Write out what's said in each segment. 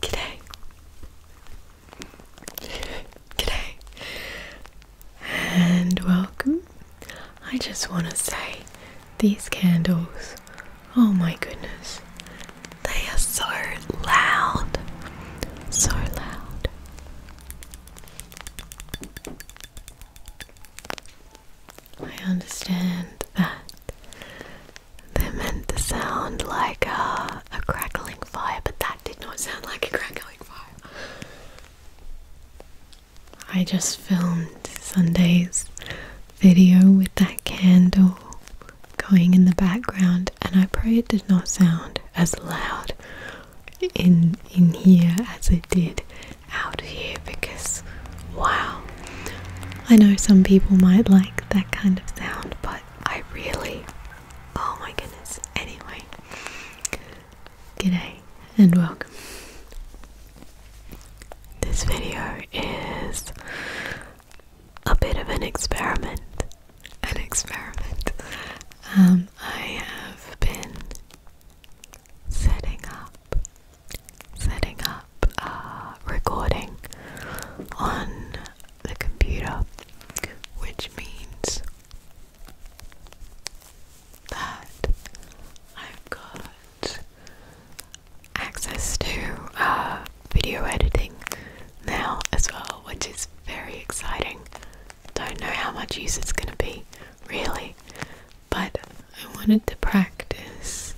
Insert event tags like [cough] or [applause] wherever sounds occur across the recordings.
Good day. Good day, And welcome. I just want to say these candles, oh my goodness, they are so loud. So loud. I understand that they meant to sound like a, a crackling fire, but that did not sound like a crackling fire. I just filmed Sunday's video with that candle going in the background, and I pray it did not sound as loud in in here as it did out here because wow. I know some people might like that kind of sound, but I really, oh my goodness. Anyway, g'day and welcome. This video is a bit of an experiment. An experiment. Um, I have been setting up, setting up a uh, recording on the computer, which means that I've got access to uh, video editing now as well, which is very exciting. Don't know how much use it's going to be, really, but I wanted to practice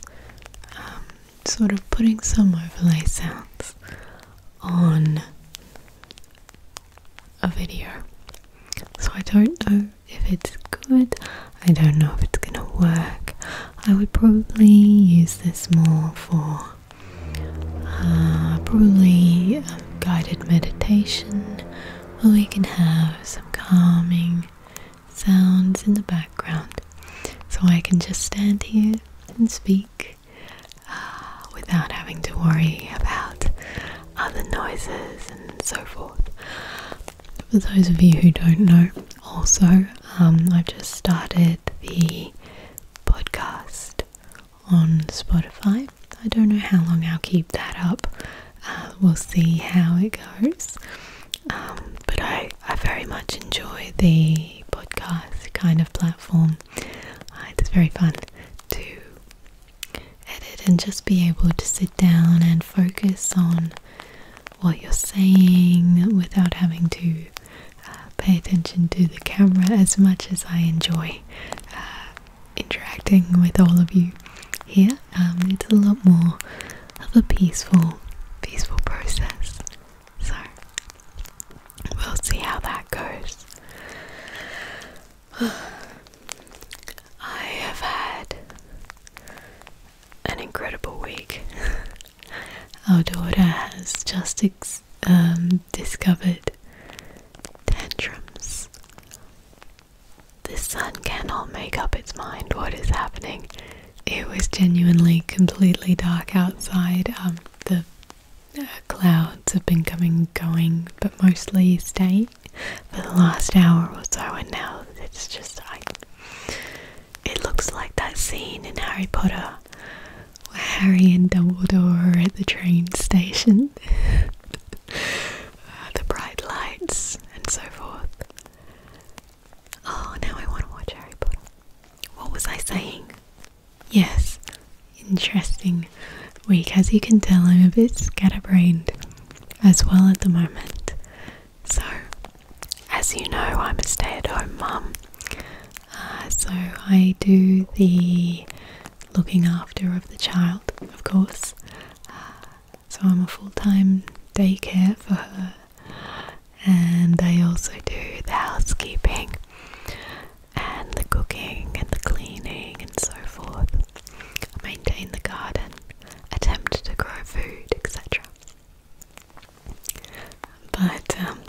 um, sort of putting some overlay sounds on a video. So I don't know if it's good, I don't know if it's gonna work. I would probably use this more for uh, probably um, guided meditation where we can have some calming sounds in the background. So I can just stand here and speak [sighs] without having to worry about other noises and so forth. For those of you who don't know, also, um, I've just started the podcast on Spotify. I don't know how long I'll keep that up. Uh, we'll see how it goes. Um, but I, I very much enjoy the podcast kind of platform uh, it is very fun to edit and just be able to sit down and focus on what you're saying without having to uh, pay attention to the camera as much as I enjoy uh, interacting with all of you here. Um, it's a lot more of a peaceful, peaceful process. So we'll see how that goes. [sighs] I have had an incredible week. [laughs] Our daughter has just um, discovered tantrums. The sun cannot make up its mind what is happening. It was genuinely completely dark outside. Um, the clouds have been coming and going, but mostly staying for the last hour or so, and now it's just like it looks like that scene in Harry Potter where Harry and Dumbledore are at the train station, [laughs] ah, the bright lights, and so forth. Oh, now I want to watch Harry Potter. What was I saying? Yes, interesting week. As you can tell, I'm a bit scatterbrained as well at the moment. So, as you know, I'm a stay at home mum. Uh, so, I do the looking after of the child, of course. Uh, so, I'm a full time daycare for her and I also do the housekeeping and the cooking and the cleaning and so forth. maintain the garden, attempt to grow food, etc. But um,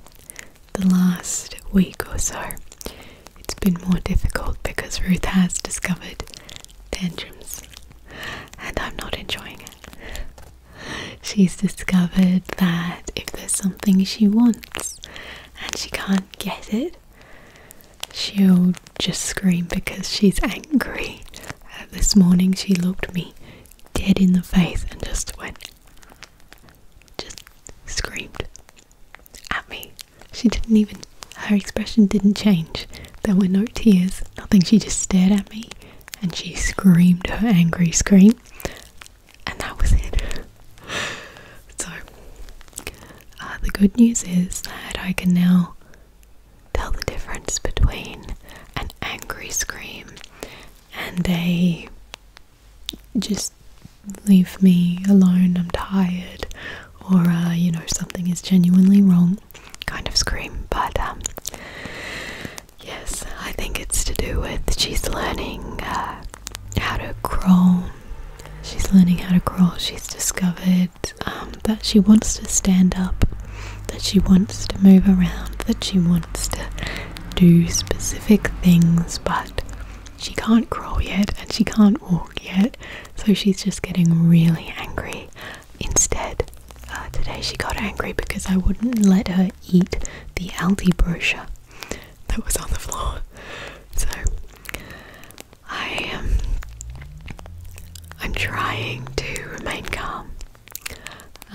the last week or so, it's been more difficult because Ruth has discovered tantrums and I'm not enjoying it. She's discovered that if there's something she wants and she can't get it, she'll just scream because she's angry. Uh, this morning she looked me dead in the face and just went, just screamed at me. She didn't even, her expression didn't change. There were no tears, nothing. She just stared at me and she screamed her angry scream and that was it. [laughs] so, uh, the good news is that I can now tell the difference between an angry scream and a just leave me alone, I'm tired, or uh, you know, something is genuinely wrong kind of scream, but um, Yes, I think it's to do with she's learning uh, how to crawl. She's learning how to crawl. She's discovered um, that she wants to stand up, that she wants to move around, that she wants to do specific things, but she can't crawl yet and she can't walk yet. So she's just getting really angry. Instead, uh, today she got angry because I wouldn't let her eat the Aldi brochure that was on the floor. So I am. I'm trying to remain calm.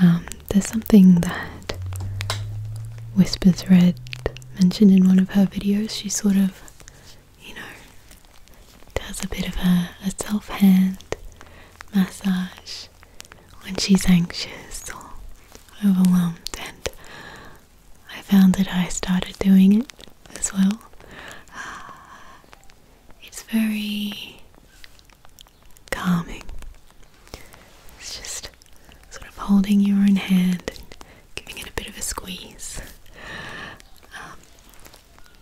Um, there's something that Whispers Red mentioned in one of her videos. She sort of, you know, does a bit of a self hand massage when she's anxious or overwhelmed, and I found that I started doing it as well. [sighs] it's very calming. It's just sort of holding your own hand and giving it a bit of a squeeze. Um,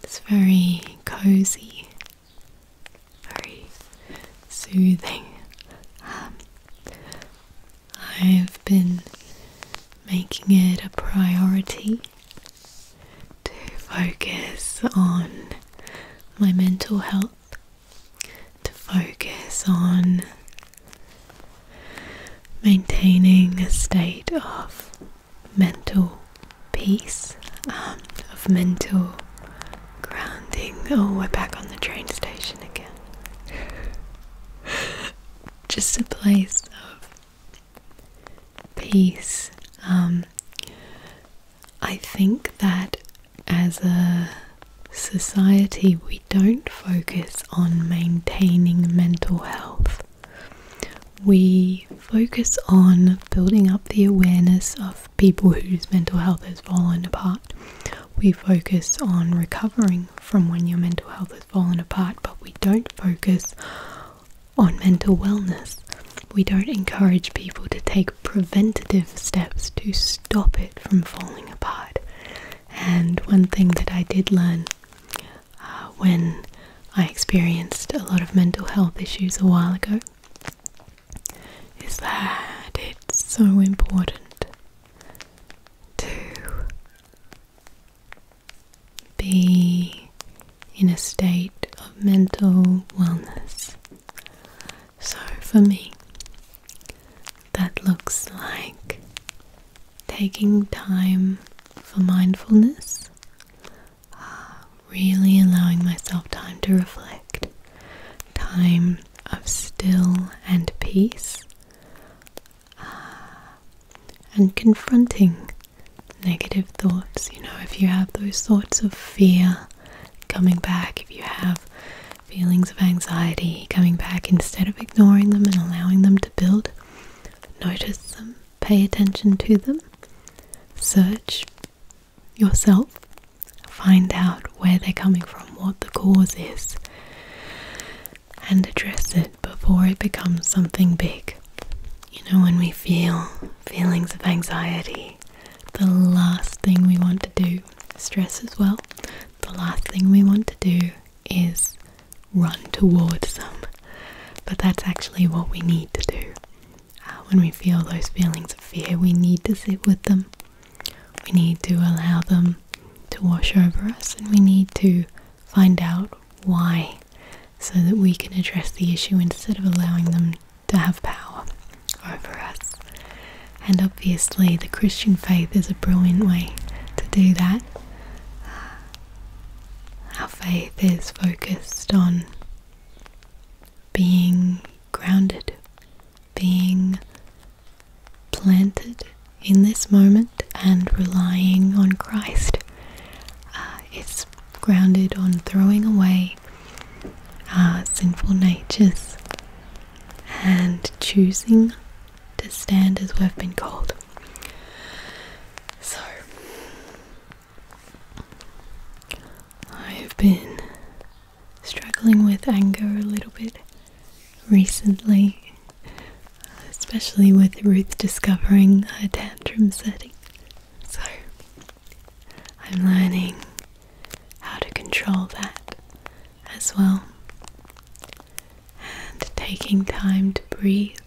it's very cozy, very soothing. Um, I've been making it a priority to focus on my mental health, to focus on maintaining a state of mental peace, um, of mental grounding. Oh, we're back on the train station again. [laughs] Just a place of peace. Um, I think that as a society, we don't focus on maintaining mental health. We focus on building up the awareness of people whose mental health has fallen apart we focus on recovering from when your mental health has fallen apart, but we don't focus on mental wellness. We don't encourage people to take preventative steps to stop it from falling apart. And one thing that I did learn uh, when I experienced a lot of mental health issues a while ago is that it's so important to be in a state of mental wellness. So for me, that looks like taking time for mindfulness, really allowing myself time to reflect, time of still and peace uh, and confronting negative thoughts. You know, if you have those thoughts of fear coming back, if you have feelings of anxiety coming back, instead of ignoring them and allowing them to build, notice them, pay attention to them, search yourself find out where they're coming from, what the cause is, and address it before it becomes something big. You know, when we feel feelings of anxiety, the last thing we want to do, stress as well, the last thing we want to do is run towards them. But that's actually what we need to do. Uh, when we feel those feelings of fear, we need to sit with them. We need to allow them to wash over us and we need to find out why so that we can address the issue instead of allowing them to have power over us. And obviously, the Christian faith is a brilliant way to do that. Our faith is focused on being grounded being planted in this moment and relying on Christ. Uh, it's grounded on throwing away sinful natures and choosing to stand as we've been called. So, I've been struggling with anger a little bit recently, especially with Ruth discovering her tantrum setting. So I'm learning how to control that as well and taking time to breathe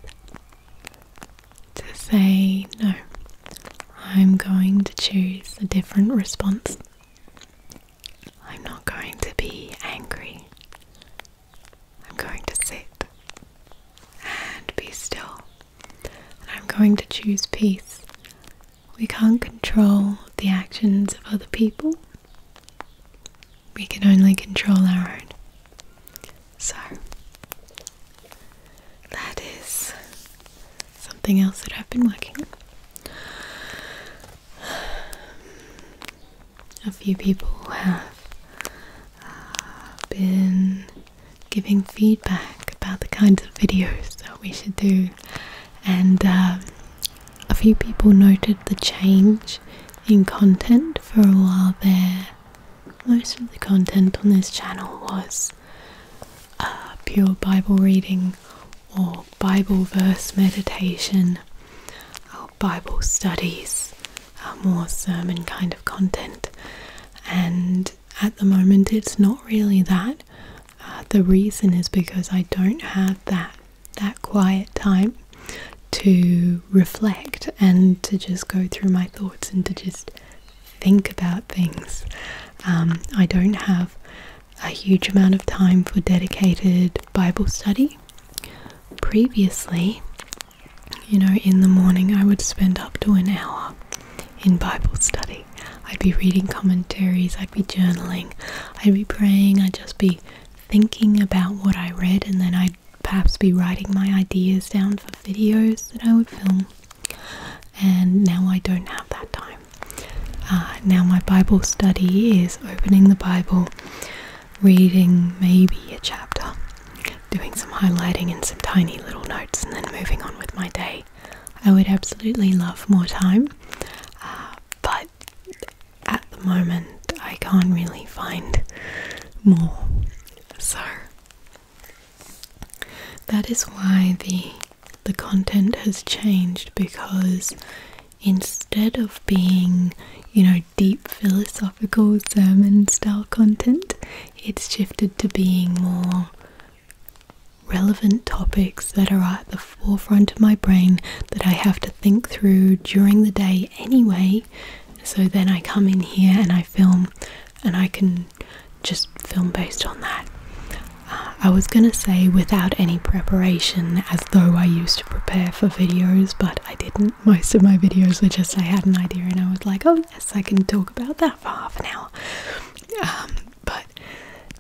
to say no. I'm going to choose a different response I'm not going to be angry. I'm going to sit and be still. I'm going to choose peace. We can't control the actions of other people. We can only control our own. So, that is something else that I've been working on. A few people have uh, been giving feedback about the kinds of videos that we should do, and um, a few people noted the change in content for a while there. Most of the content on this channel was uh, pure Bible reading or Bible verse meditation or Bible studies, uh, more sermon kind of content. And at the moment, it's not really that. Uh, the reason is because I don't have that that quiet time to reflect and to just go through my thoughts and to just think about things. Um, I don't have a huge amount of time for dedicated Bible study. Previously, you know, in the morning, I would spend up to an hour in Bible study. I'd be reading commentaries, I'd be journaling, I'd be praying, I'd just be thinking about what I read, and then I'd perhaps be writing my ideas down for videos that I would film. And now I don't have that time. Uh, now, my Bible study is opening the Bible, reading maybe a chapter, doing some highlighting and some tiny little notes, and then moving on with my day. I would absolutely love more time, uh, but at the moment, I can't really find more. So that is why the the content has changed because instead of being, you know, deep philosophical sermon style content, it's shifted to being more relevant topics that are at the forefront of my brain that I have to think through during the day anyway. So then I come in here and I film and I can just film based on that. Uh, I was gonna say without any preparation though I used to prepare for videos, but I didn't. Most of my videos were just I had an idea and I was like, oh, yes, I can talk about that for half an hour. Um, but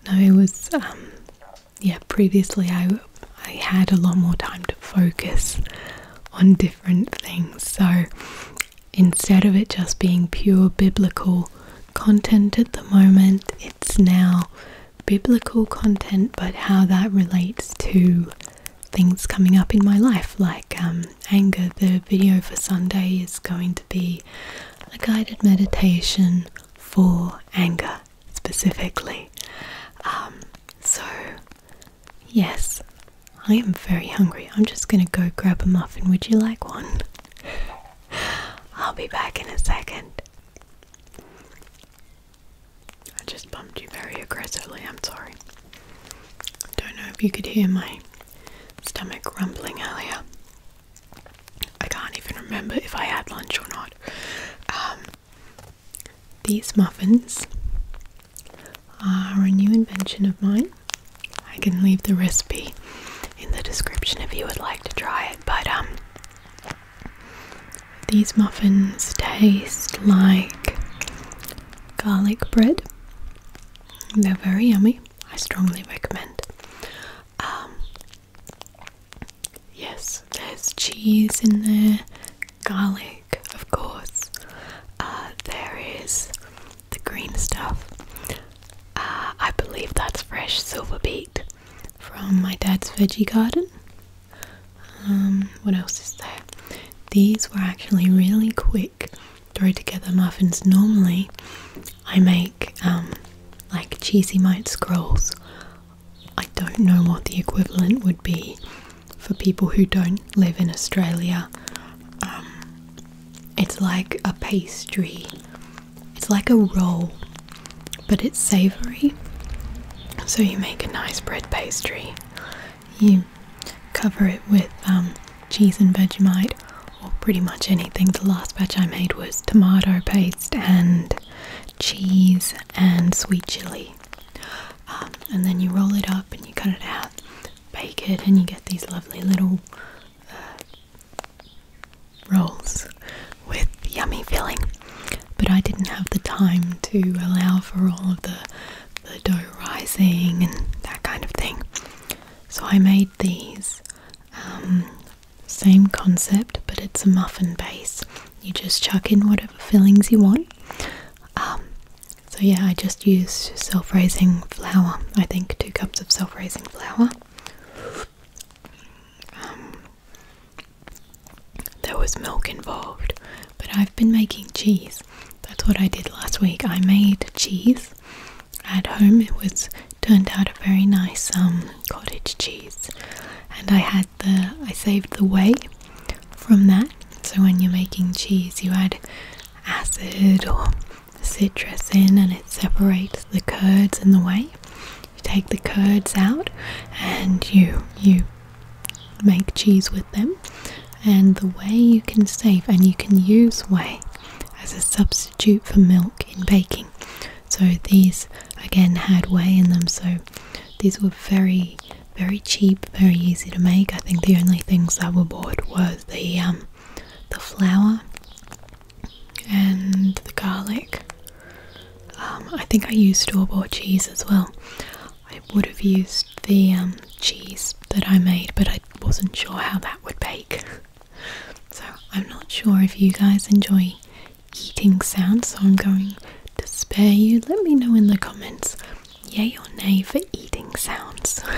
no, it was, um, yeah, previously I, I had a lot more time to focus on different things. So instead of it just being pure biblical content at the moment, it's now biblical content, but how that relates to things coming up in my life, like um, anger. The video for Sunday is going to be a guided meditation for anger specifically. Um, so, yes, I am very hungry. I'm just going to go grab a muffin. Would you like one? [laughs] I'll be back in a second. I just bumped you very aggressively, I'm sorry. Don't know if you could hear my stomach rumbling earlier. I can't even remember if I had lunch or not. Um, these muffins are a new invention of mine. I can leave the recipe in the description if you would like to try it, but um, these muffins taste like garlic bread. They're very yummy. I strongly recommend. Um, yes, there's cheese in there, garlic, of course. Uh, there is the green stuff. Uh, I believe that's fresh silver beet from my dad's veggie garden. Um, what else is there? These were actually really quick throw together muffins. Normally, I make um, like cheesy mite scrolls. I don't know what the equivalent would be for people who don't live in Australia. Um, it's like a pastry, it's like a roll but it's savory. So you make a nice bread pastry. You cover it with um, cheese and Vegemite, or pretty much anything. The last batch I made was tomato paste and cheese and sweet chili. Um, and then you roll it up and you cut it out, bake it, and you get these lovely little uh, rolls with yummy filling but I didn't have the time to allow for all of the, the dough rising and that kind of thing. So I made these. Um, same concept, but it's a muffin base. You just chuck in whatever fillings you want. Um, so yeah, I just used self-raising flour. I think two cups of self-raising flour. Um, there was milk involved, but I've been making cheese. That's what I did last week. I made cheese at home. It was turned out a very nice um, cottage cheese, and I had the I saved the whey from that. So when you're making cheese, you add acid or citrus in, and it separates the curds and the whey. You take the curds out, and you you make cheese with them. And the way you can save, and you can use whey as a substitute for milk in baking. So these again had whey in them, so these were very, very cheap, very easy to make. I think the only things that were bought was the um, the flour and the garlic um, I think I used store-bought cheese as well. I would have used the um, cheese that I made, but I wasn't sure how that would bake. [laughs] so I'm not sure if you guys enjoy eating sounds, so I'm going to spare you. Let me know in the comments, yay or nay for eating sounds. [laughs]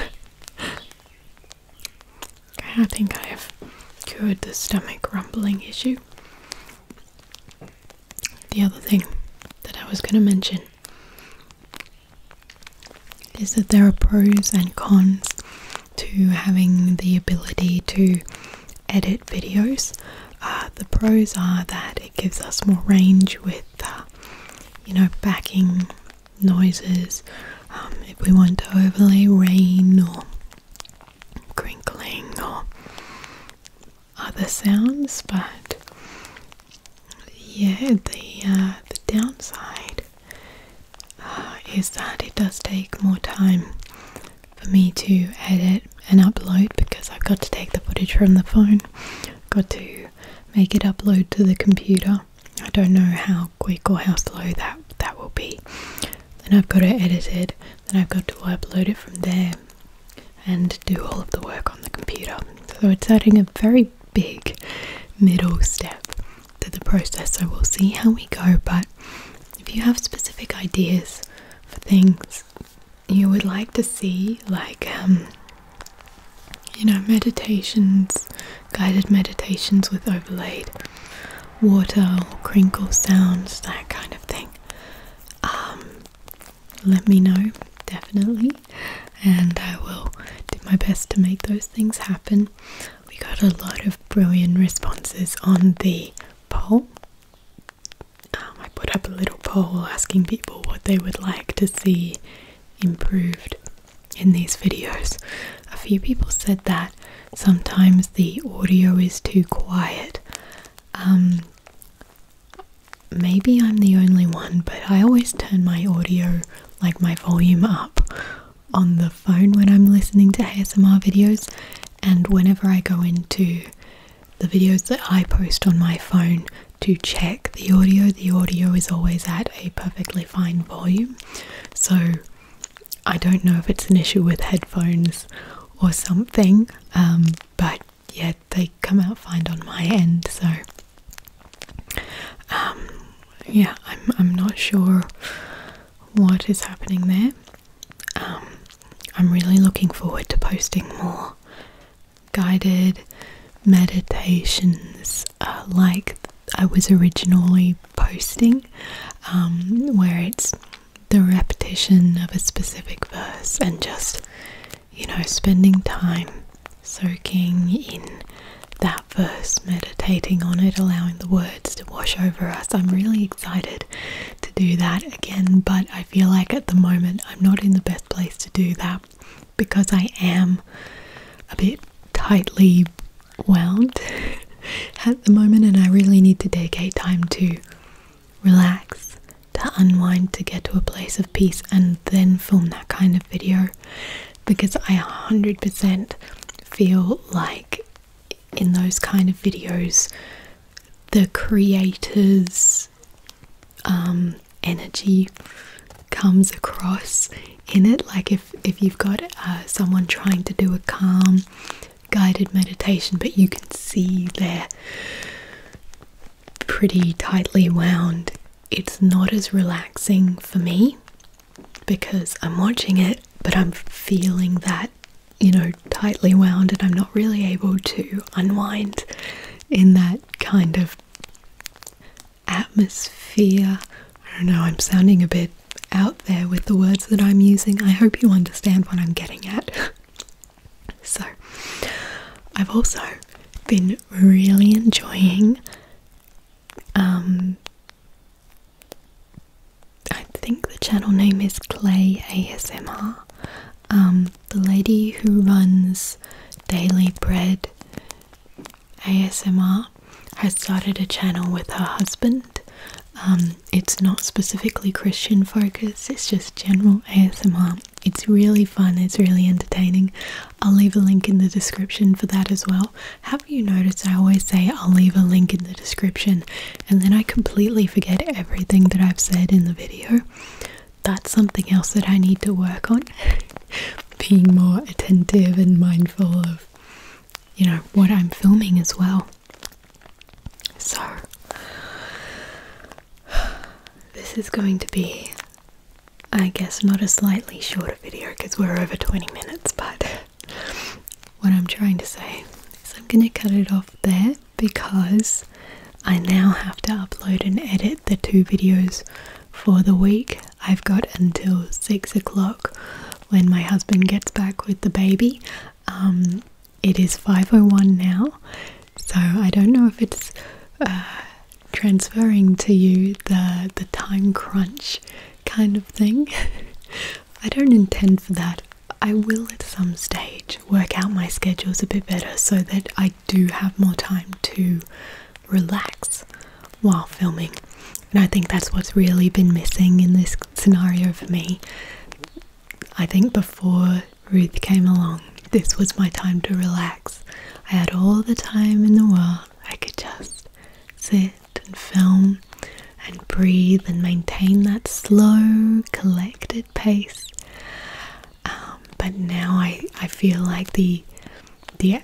I think I have cured the stomach rumbling issue the other thing that I was going to mention is that there are pros and cons to having the ability to edit videos. Uh, the pros are that it gives us more range with, uh, you know, backing noises. Um, if we want to overlay rain or crinkling or other sounds, but yeah, the uh, the downside uh, is that it does take more time for me to edit and upload because I've got to take the footage from the phone, got to make it upload to the computer. I don't know how quick or how slow that that will be. Then I've got it edited. Then I've got to upload it from there and do all of the work on the computer. So it's adding a very big middle step to the process. So we'll see how we go. But if you have specific ideas for things you would like to see, like, um, you know, meditations, guided meditations with overlaid water or crinkle sounds, that kind of thing. Um, let me know definitely and I will do my best to make those things happen. We got a lot of brilliant responses on the poll. Um, I put up a little poll asking people what they would like to see improved in these videos. A few people said that sometimes the audio is too quiet. Um, maybe I'm the only one, but I always turn my audio, like my volume up on the phone when I'm listening to ASMR videos. And whenever I go into the videos that I post on my phone to check the audio, the audio is always at a perfectly fine volume. So I don't know if it's an issue with headphones or something, um, but Yet they come out fine on my end. So, um, yeah, I'm I'm not sure what is happening there. Um, I'm really looking forward to posting more guided meditations uh, like I was originally posting, um, where it's the repetition of a specific verse and just, you know, spending time soaking in that verse, meditating on it, allowing the words to wash over us. I'm really excited to do that again, but I feel like at the moment I'm not in the best place to do that because I am a bit tightly wound [laughs] at the moment and I really need to dedicate time to relax, to unwind, to get to a place of peace, and then film that kind of video because I 100% feel like in those kind of videos, the creator's um, energy comes across in it. Like if, if you've got uh, someone trying to do a calm, guided meditation, but you can see their pretty tightly wound, it's not as relaxing for me because I'm watching it, but I'm feeling that, you know, tightly wound, and I'm not really able to unwind in that kind of atmosphere. I don't know, I'm sounding a bit out there with the words that I'm using. I hope you understand what I'm getting at. [laughs] So, I've also been really enjoying. Um, I think the channel name is Clay ASMR. Um, the lady who runs Daily Bread ASMR has started a channel with her husband. Um, it's not specifically Christian focus, it's just general ASMR it's really fun, it's really entertaining. I'll leave a link in the description for that as well. Have you noticed I always say I'll leave a link in the description and then I completely forget everything that I've said in the video? That's something else that I need to work on. [laughs] Being more attentive and mindful of, you know, what I'm filming as well. So, this is going to be, I guess, not a slightly shorter video because we're over 20 minutes, but what I'm trying to say is I'm going to cut it off there because I now have to upload and edit the two videos for the week. I've got until 6 o'clock when my husband gets back with the baby. Um, it is 5.01 now so I don't know if it's uh, transferring to you the, the time crunch kind of thing. [laughs] I don't intend for that. I will at some stage work out my schedules a bit better so that I do have more time to relax while filming. And I think that's what's really been missing in this scenario for me. I think before Ruth came along. This was my time to relax. I had all the time in the world. I could just sit and film and breathe and maintain that slow, collected pace. Um, but now I, I feel like the the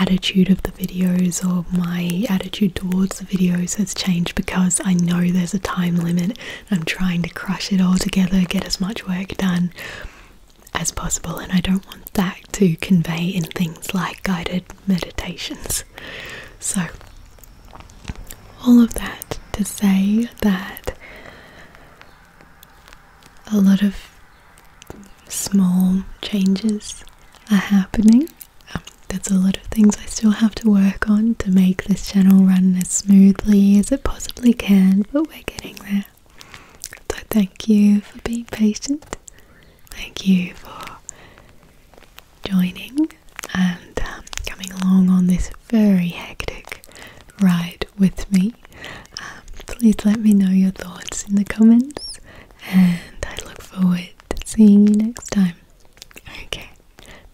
attitude of the videos or my attitude towards the videos has changed because I know there's a time limit I'm trying to crush it all together, get as much work done as possible, and I don't want that to convey in things like guided meditations. So, all of that to say that a lot of small changes are happening. Um, that's a lot of things I still have to work on to make this channel run as smoothly as it possibly can, but we're getting there. So thank you for being patient. Thank you for joining and um, coming along on this very hectic ride with me. Um, please let me know your thoughts in the comments, and I look forward to seeing you next time. Okay,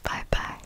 bye bye.